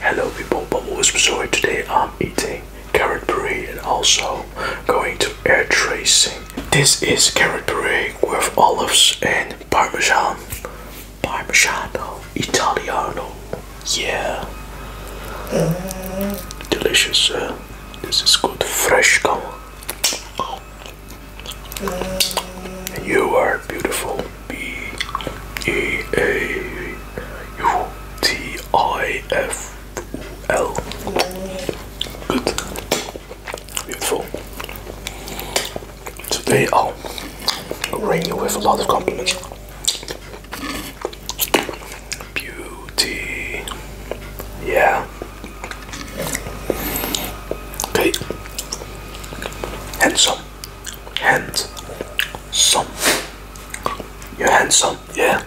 Hello people, Bumble Wisp Soy. Today I'm eating carrot puree and also going to air tracing. This is carrot puree with olives and parmesan. Parmigiano Italiano. Yeah. Delicious. this is good. Fresh come. You are beautiful. B E A U T I F L. Good. Beautiful. Today I'll ring you with a lot of compliments. Beauty. Yeah. Okay. Handsome. Handsome. You're handsome, yeah.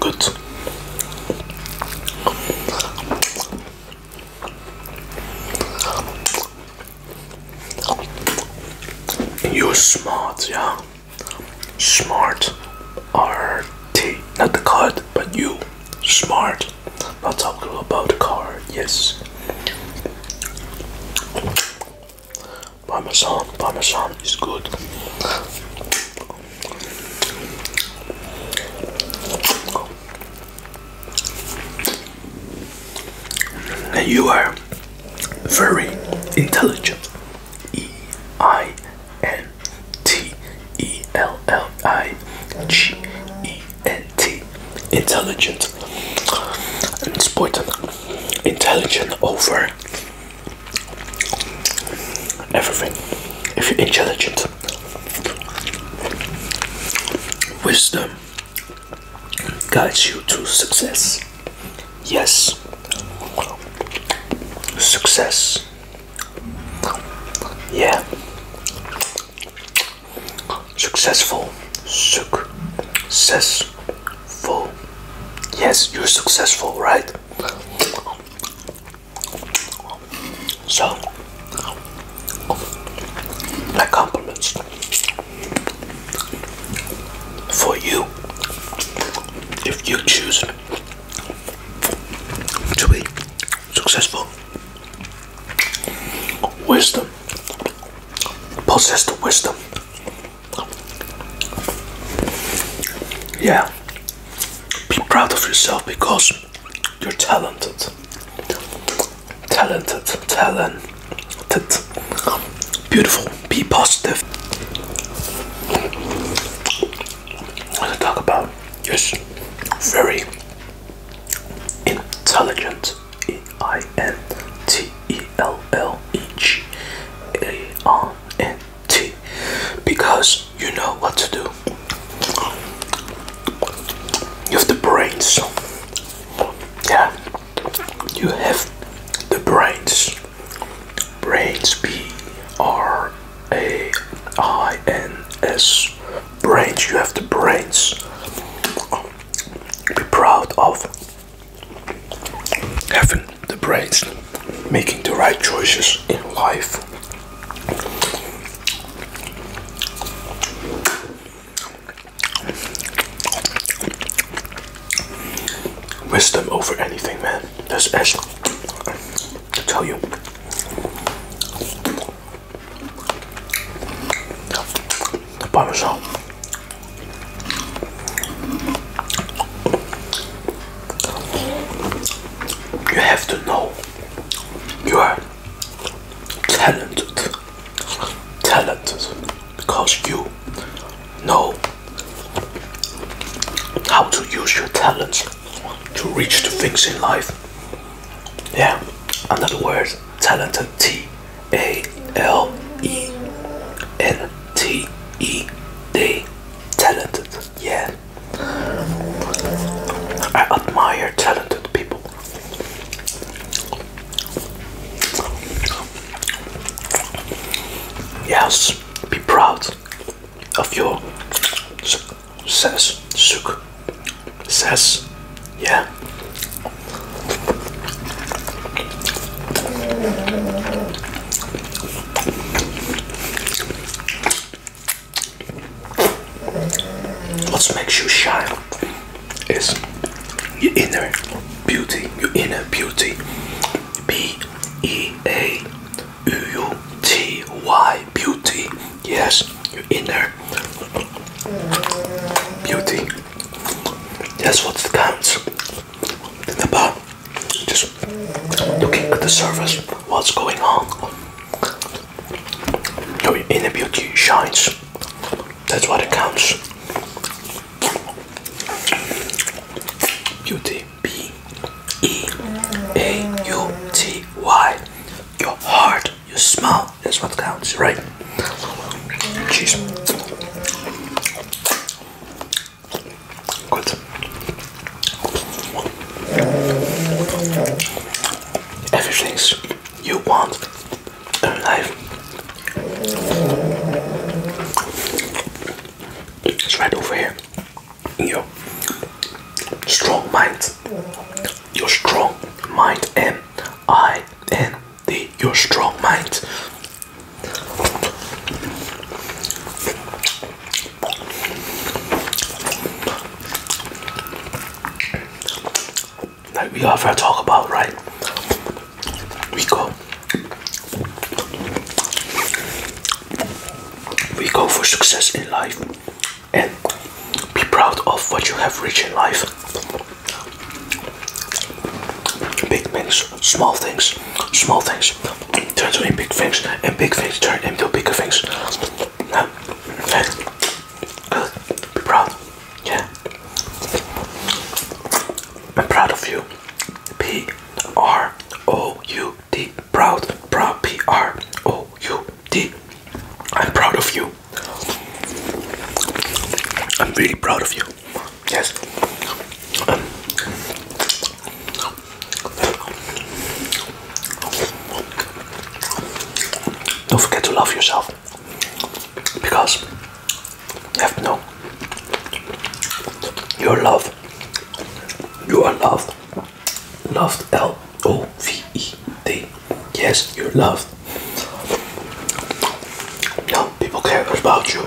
Good. You're smart, yeah. Smart. RT. Not the card, but you smart. Not talk about the car, yes. Parmesan, Parmesan is good. you are very intelligent. E I N T E L L I G E N T. Intelligent. It's important. Intelligent over everything. If you're intelligent, wisdom guides you to success. Yes, success yeah. Successful. Successful. Yes, you're successful, right? So, my compliments for you if you choose to be successful. Wisdom. Possess the wisdom. Yeah. Be proud of yourself because you're talented. Talented, talented. Beautiful. Be positive. What to talk about is very intelligent E I N T E L L E G A R N T because you know what to do. You have the brains. Yeah. You have the brains. Brains B R a I N S brains. You have the brains. Be proud of having the brains, making the right choices in life. Wisdom over anything, man. That's as to tell you. You have to know you are talented, talented because you know how to use your talents to reach the things in life. Yeah, another word, talented. T A L E N T E D. Talented. Yeah. I admire talented people. Yes, be proud of your says suk says yeah Let's make you shine is your inner beauty your inner beauty b e a u u t y beauty Yes, your inner beauty. That's what counts. Think about just looking at the surface, what's going on. Your inner beauty shines. That's what it counts. Beauty. B E A U T Y. Your heart you smell That's what counts, right? Cheese. Good. Everything's you want in life. It's right over here. In your strong minds your strong mind. M I N D, your strong mind. Like we often talk about, right? We go. We go for success in life and be proud of what you have reached in life. Big things, small things, small things turn into big things, and big things turn into bigger things. be proud, yeah. I'm proud of you. P R O U D, proud, proud, P R O U D, I'm proud of you. I'm really proud of you. Yes. Um, don't forget to love yourself because you have to know are loved. you are loved, Loved L O V E D. Yes, you're loved. No, people care about you.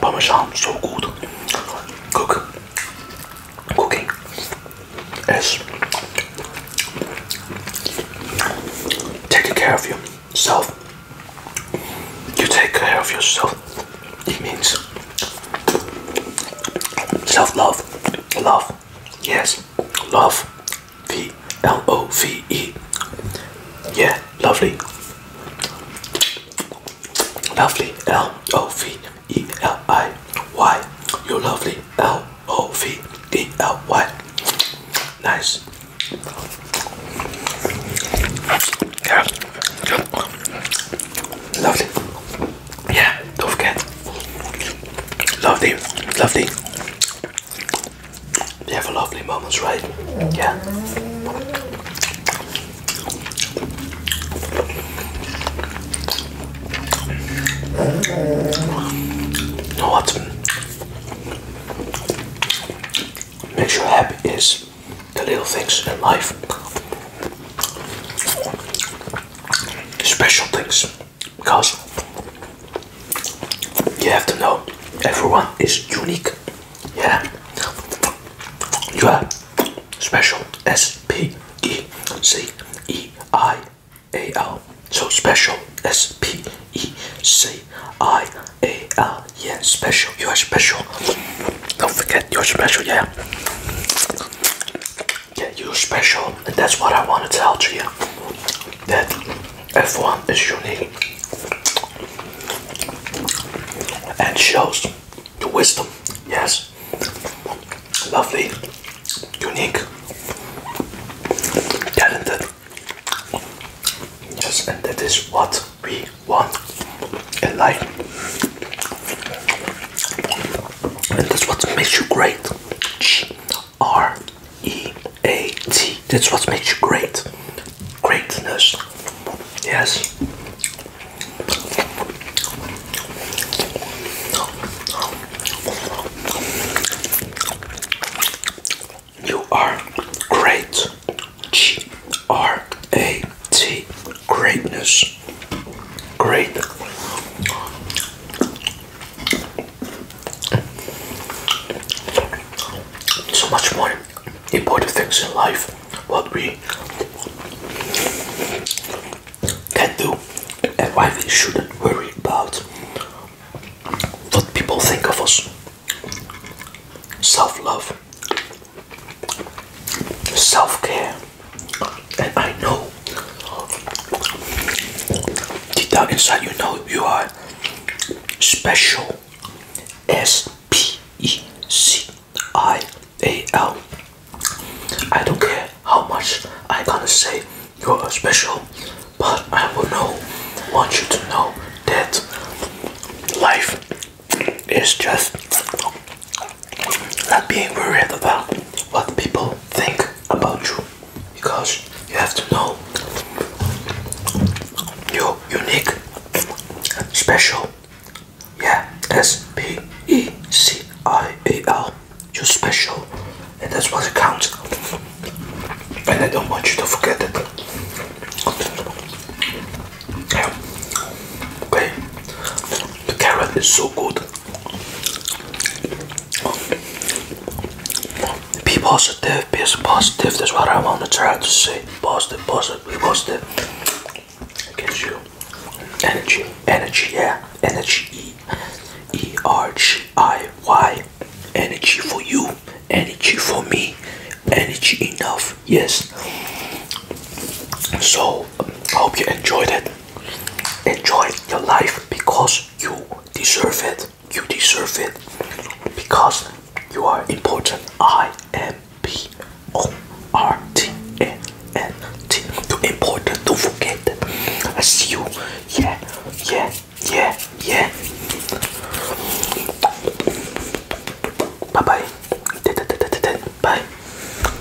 Parmesan, so good. Cook, cooking. Yes. Taking care of yourself. You take care of yourself it means self love, love, yes, love, V L O V E, yeah, lovely, lovely, L O V E L I Y, you're lovely, L O V E L Y, nice. Yeah. Lovely yeah, don't forget. Lovely, lovely. You have lovely moments, right? Yeah. You know what makes you happy is the little things in life special things because you have to know everyone is unique. Yeah, you are special. S P E C E I A L. So special. S P E C I A L. Yeah, special. You are special. Don't forget, you're special. Yeah. Yeah, you're special, and that's what I want to tell to you. That F1 is unique and shows the wisdom. Yes, lovely, unique, talented. Yes, and that is what we want in life and that's what makes you great. G R E A T. That's what makes you great. Greatness. Yes. You are great. G R A See, greatness. Great. So much more important things in life, what we can do, and why we shouldn't worry about what people think of us. Self love, self care and I know deep down inside you know you are special S P E C I A L. I don't care how much I gonna say you're special, but I will know want you to know that life is just not being worried about what people think about you because you have to know you're unique special yeah s-p-e-c-i-a-l you're special and that's what counts and I don't want you to forget it okay the carrot is so good be positive, be positive, that's what I want to try to say. Positive, positive, be positive. It gives you energy, energy, yeah, energy. E, e R G I Y. Energy for you, energy for me, energy enough, yes. So, um, I hope you enjoyed it. Enjoy your life because you deserve it. You deserve it because you are important. I am P O R T A N T. Too important to forget. I see you. Yeah, yeah, yeah, yeah. Bye bye. Bye.